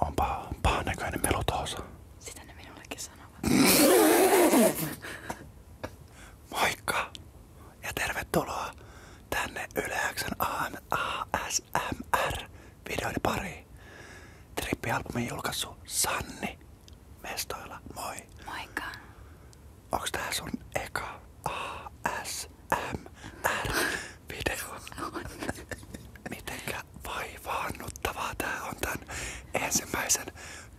Onpa pahan näköinen melutoosa. Sitä ne minullekin sanovat. Moikka ja tervetuloa tänne Yleäksen ASMR-videoiden pariin. Trippialbumin julkaissut Sanni mestoilla. Moi. Moikka. Onks tää sun eka ASMR? video. On. Mitenkä vaivaannuttavaa tää on tän ensimmäisen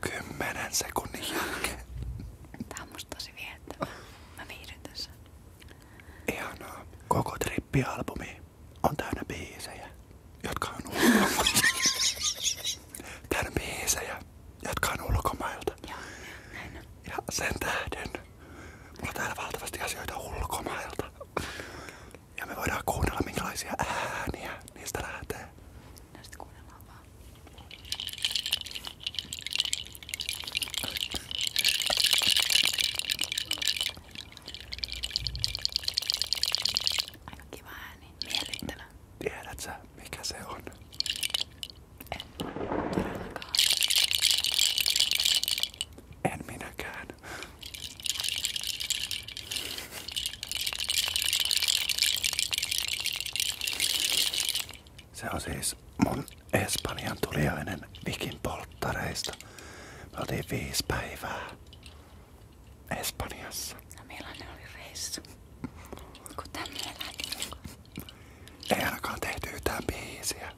kymmenen sekunnin jälkeen. Tää on musta tosi viettävää. Mä viihdyn tässä. Ihanaa. Koko trippialbumi on täynnä biisejä, jotka on ulkomailta. täynnä biisejä, jotka on ulkomailta. Joo, näin Ja sen tähden Mulla on täällä valtavasti asioita ulkomailta. Ja me voidaan kuunnella minkälaisia ääniä niistä lähtee. No sit kuunnellaan vaan. Aika kiva ääni. Miellyttävä. Tiedät sä mikä se on? En. Todellakaan. En minäkään. Se on siis mun Espanjan tuliainen vikin polttareista. Me oltiin viisi päivää Espanjassa. No millainen oli reissu? Kun tänne Ei ainakaan tehty yhtään biisiä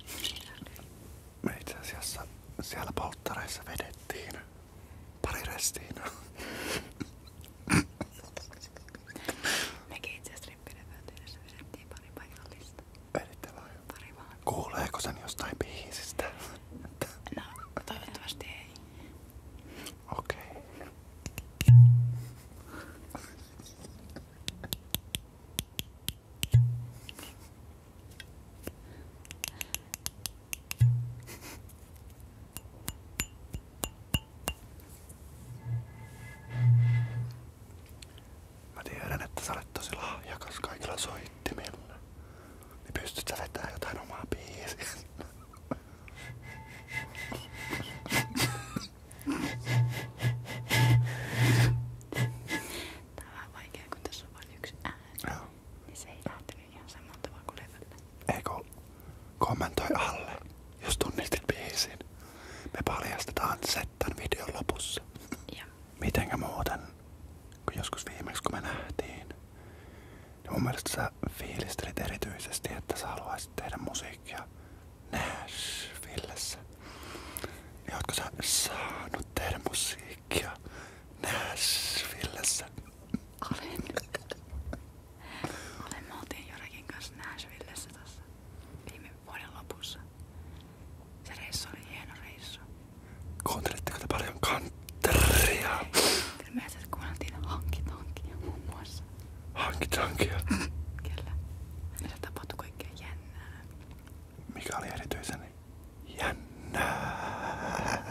me itse asiassa siellä polttareissa vedettiin pari restiin. Mekin itse asiassa rippinevyyteydessä vedettiin pari paikallista. Veditte vai? Pari vaan. No, toivottavasti ei. Okei. Mä tiedän, että sä olet tosi lahjakas kaikilla soittimilla. Niin pystyt sä vetämään jotain omaa biisiä. Tää on vähän vaikea, kun tässä on vain yksi ääni. Joo. Niin se ei lähtenyt ihan samalla tavalla kuin levyllä. Eikö kommentoi alle, jos tunnistit biisin. Me paljastetaan se tämän videon lopussa. Joo. Mitenkä muuten, kun joskus viimeksi kun me nähtiin, niin mun mielestä sä fiilistelit erityisesti, että sä haluaisit tehdä musiikkia Nashvillessä. Ja ootko sä saanut tehdä musiikkia Nashvillessä? Olen. Olen. Me oltiin Jorakin kanssa Nashvillessä tässä viime vuoden lopussa. Se reissu oli hieno reissu. Kuuntelitteko te paljon kantteria? Ilmeisesti kuunneltiin hankitankia muun muassa. Hankitankia? Kyllä. Ja se tapahtui kaikkea jännää mikä oli erityisen jännää.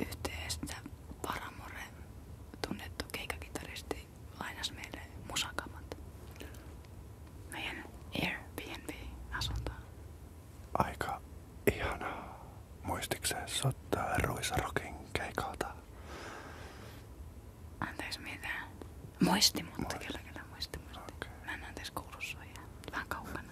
Yhteistä Paramore tunnettu keikakitaristi lainasi meille musakamat meidän Airbnb-asuntoon. Aika ihanaa. Muistikseen sottaa Ruisarokin keikalta? Anteeksi mitä? Muisti, mutta muisti. kyllä kyllä muisti. muisti. Okay. Mä en anteeksi kuulu suojaa. Vähän kaukana.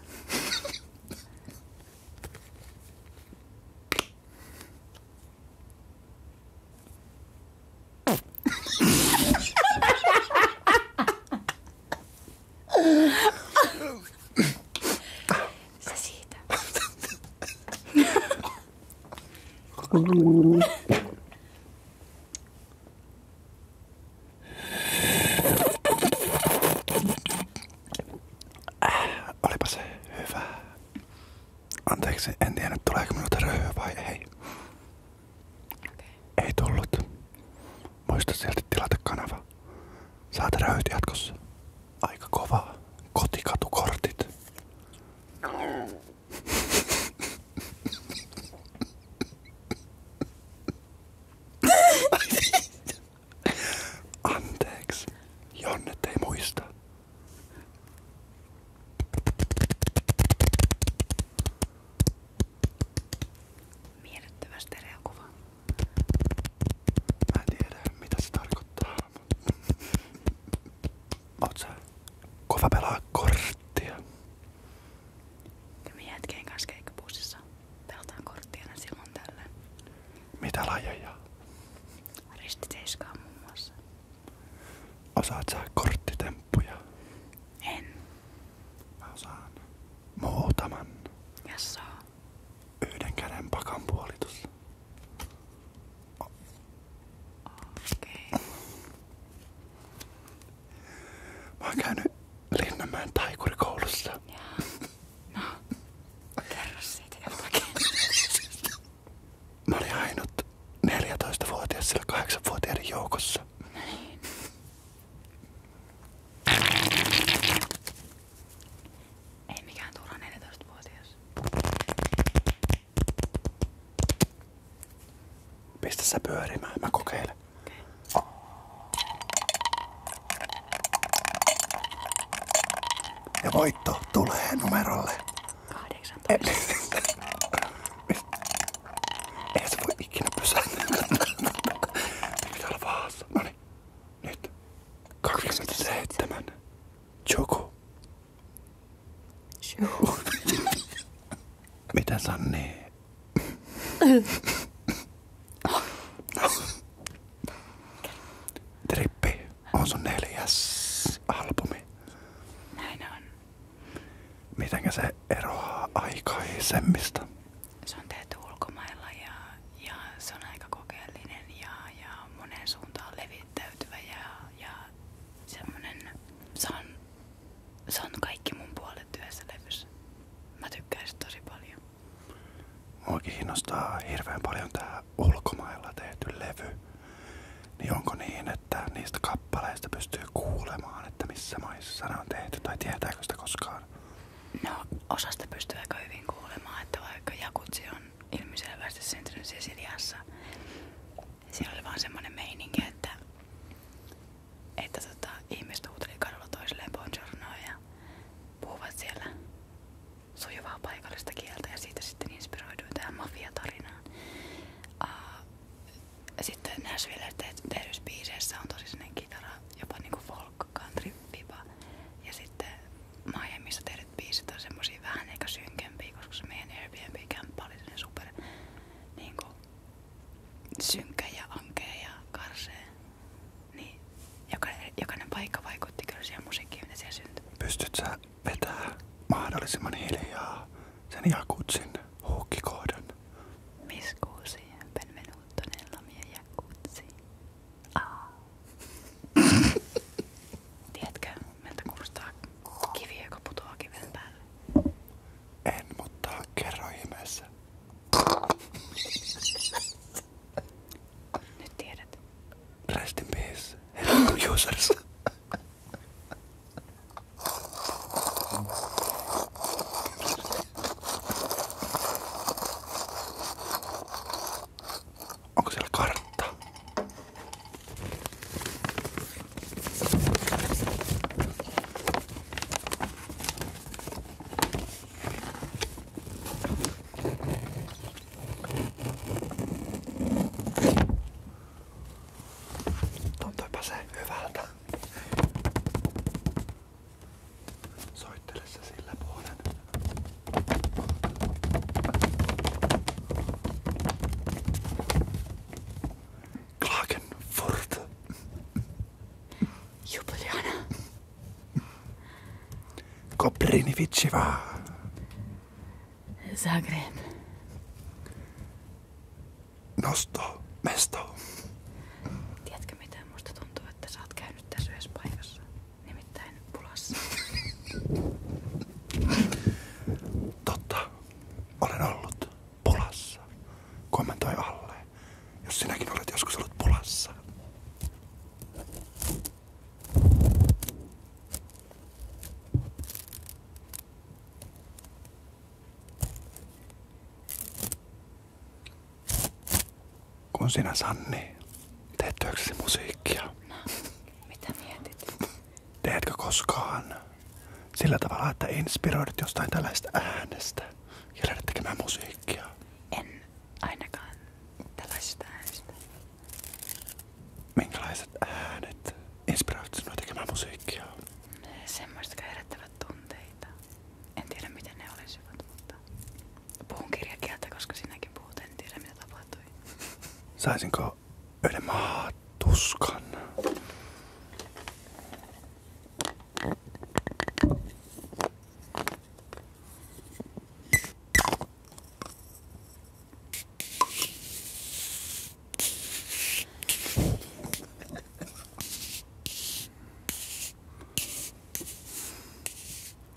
Se siitä. Mm. Olipa se hyvä. Anteeksi, en tiedä tuleeko minulta röhöä vai ei. Ei tullut. Muista silti tilata kanava. Saat röyt jatkossa. Aika kovaa. Kotikatukortit. Mm. Anteeksi, Jonnet ei muista. Miellyttävä stereokuva. Mä en tiedä, mitä se tarkoittaa. Oot sä Me jätkeen kanssa keikkapussissa pelataan korttia aina Mitä lajeja? Ristiseiskaa muun muassa. Osaat En. Mä osaan muutaman. Jassaa. Yhden käden pakan puolitus. Okei. Mä oon käynyt Linnanmäen taikurikoulussa. Jaa. No, kerro siitä jotakin. Mä olin ainut 14-vuotias sillä 8-vuotiaiden joukossa. No niin. Ei mikään turha 14-vuotias. Pistä sä pyörimään, mä kokeilen. Okay. Ja voitto tulee numerolle. 18. Ei se voi ikinä pysähtyä. Pitää olla vaassa. Noniin. Nyt. 27. Joku. Mitä Sanni? Trippi on sun neljäs albumi. Näin on. Miten se eroaa aikaisemmista? Se on tehty ulkomailla ja, ja se on aika kokeellinen ja, ja monen suuntaan levittäytynyt käytävä ja, ja semmonen, se on, kaikki mun puolet yhdessä levyssä. Mä tykkään sitä tosi paljon. Mua kiinnostaa hirveän paljon tää ulkomailla tehty levy. Niin onko niin, että niistä kappaleista pystyy kuulemaan, että missä maissa ne on tehty tai tietääkö sitä koskaan? No osasta pystyy aika hyvin kuulemaan, että vaikka Jakutsi on on ilmiselvästi syntynyt Sisiliassa. siellä oli vaan semmonen meininki, että, että tota, ihmiset huuteli kadulla toisilleen bonjournoa ja puhuvat siellä sujuvaa paikallista kieltä ja siitä sitten inspiroiduin tähän mafiatarinaan. Uh, sitten Nashville tehdyssä biiseissä on tosi sellainen kitara, jopa niinku folk country viba. Ja sitten Miamiissa tehdyt biisit on semmosia vähän ehkä synkempiä, koska se meidän Airbnb-kämppä oli sellainen super niinku, synkkä ja ankea ja karsee. Niin jokainen, jokainen paikka vaikutti kyllä siihen musiikkiin, mitä siellä syntyi. Pystyt sä vetää mahdollisimman hiljaa sen jakutsin huukkikohdan? Miskuusi, benvenuto nella mia jakutsi. Aa. Tiedätkö, miltä kuulostaa kivi, joka putoaa kiven päälle? En, mutta kerro ihmeessä. Nyt tiedät. Rest in peace. Hello users. Onko siellä kartta? Tuntuipa se hyvältä. Soittele se sillä puolen. Klagenfurt. Jubiljana. Koprivničeva. Zagreb. Nosto. Mesto. Tiedätkö mitä? Musta tuntuu, että sä oot käynyt tässä yhdessä paikassa. Nimittäin pulassa. Totta. Olen ollut pulassa. Kommentoi alle, jos sinäkin olet joskus ollut pulassa. Kun sinä, Sanni, teet työksesi musiikkia. No, mitä mietit? Teetkö koskaan sillä tavalla, että inspiroidut jostain tällaista äänestä ja lähdet tekemään musiikkia? En ainakaan tällaista. äänestä. Minkälaiset äänet inspiroivat sinua tekemään musiikkia? Semmoista, jotka herättävät tunteita. En miten ne olisivat, mutta puhun kirjakieltä, koska sinäkin puhut, en mitä tapahtui. Saisinko yhden maatuskan?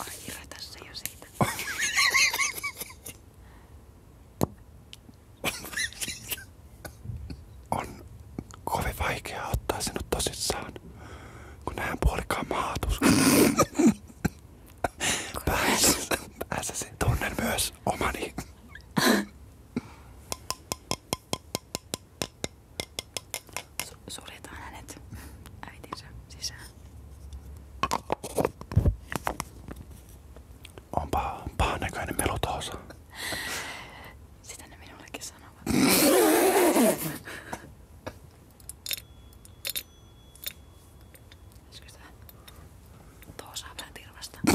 Ai irra tässä jo siitä. On kovin vaikea ottaa sinut tosissaan, kun näen puolikaan maatus. Pääs, pääsäsi tunnen myös omani. Su suljetaan hänet äitinsä sisään. On paha, paha näköinen melu tuossa. Sitä ne minullekin sanovat. Olisiko tää toosaa vähän tirvasta?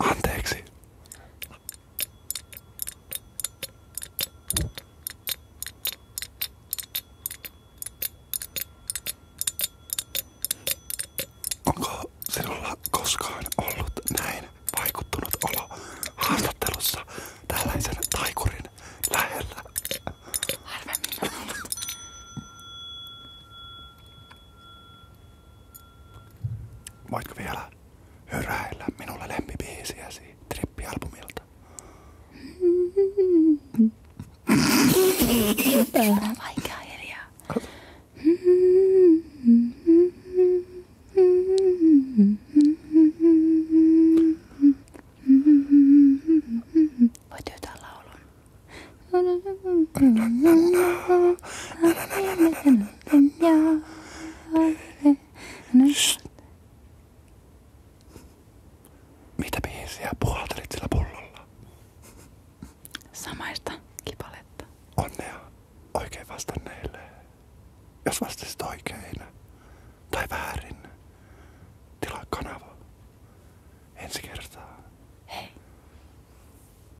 Anteeksi. Onko sinulla koskaan ollut näin vaikuttunut olo haastattelussa tällaisen taikurin lähellä? Harvemmin on ollut. Voitko vielä höräillä minulle lempibiisiäsi trippialbumilta? Tää on vaikea hiljaa. Voit yhtää laulun. Mitä biisiä puhaltelit sillä pullolla? Samaista kipaletta. Onnea oikein vastanneille. Jos vastasit oikein tai väärin, tilaa kanava. Ensi kertaa. Hei.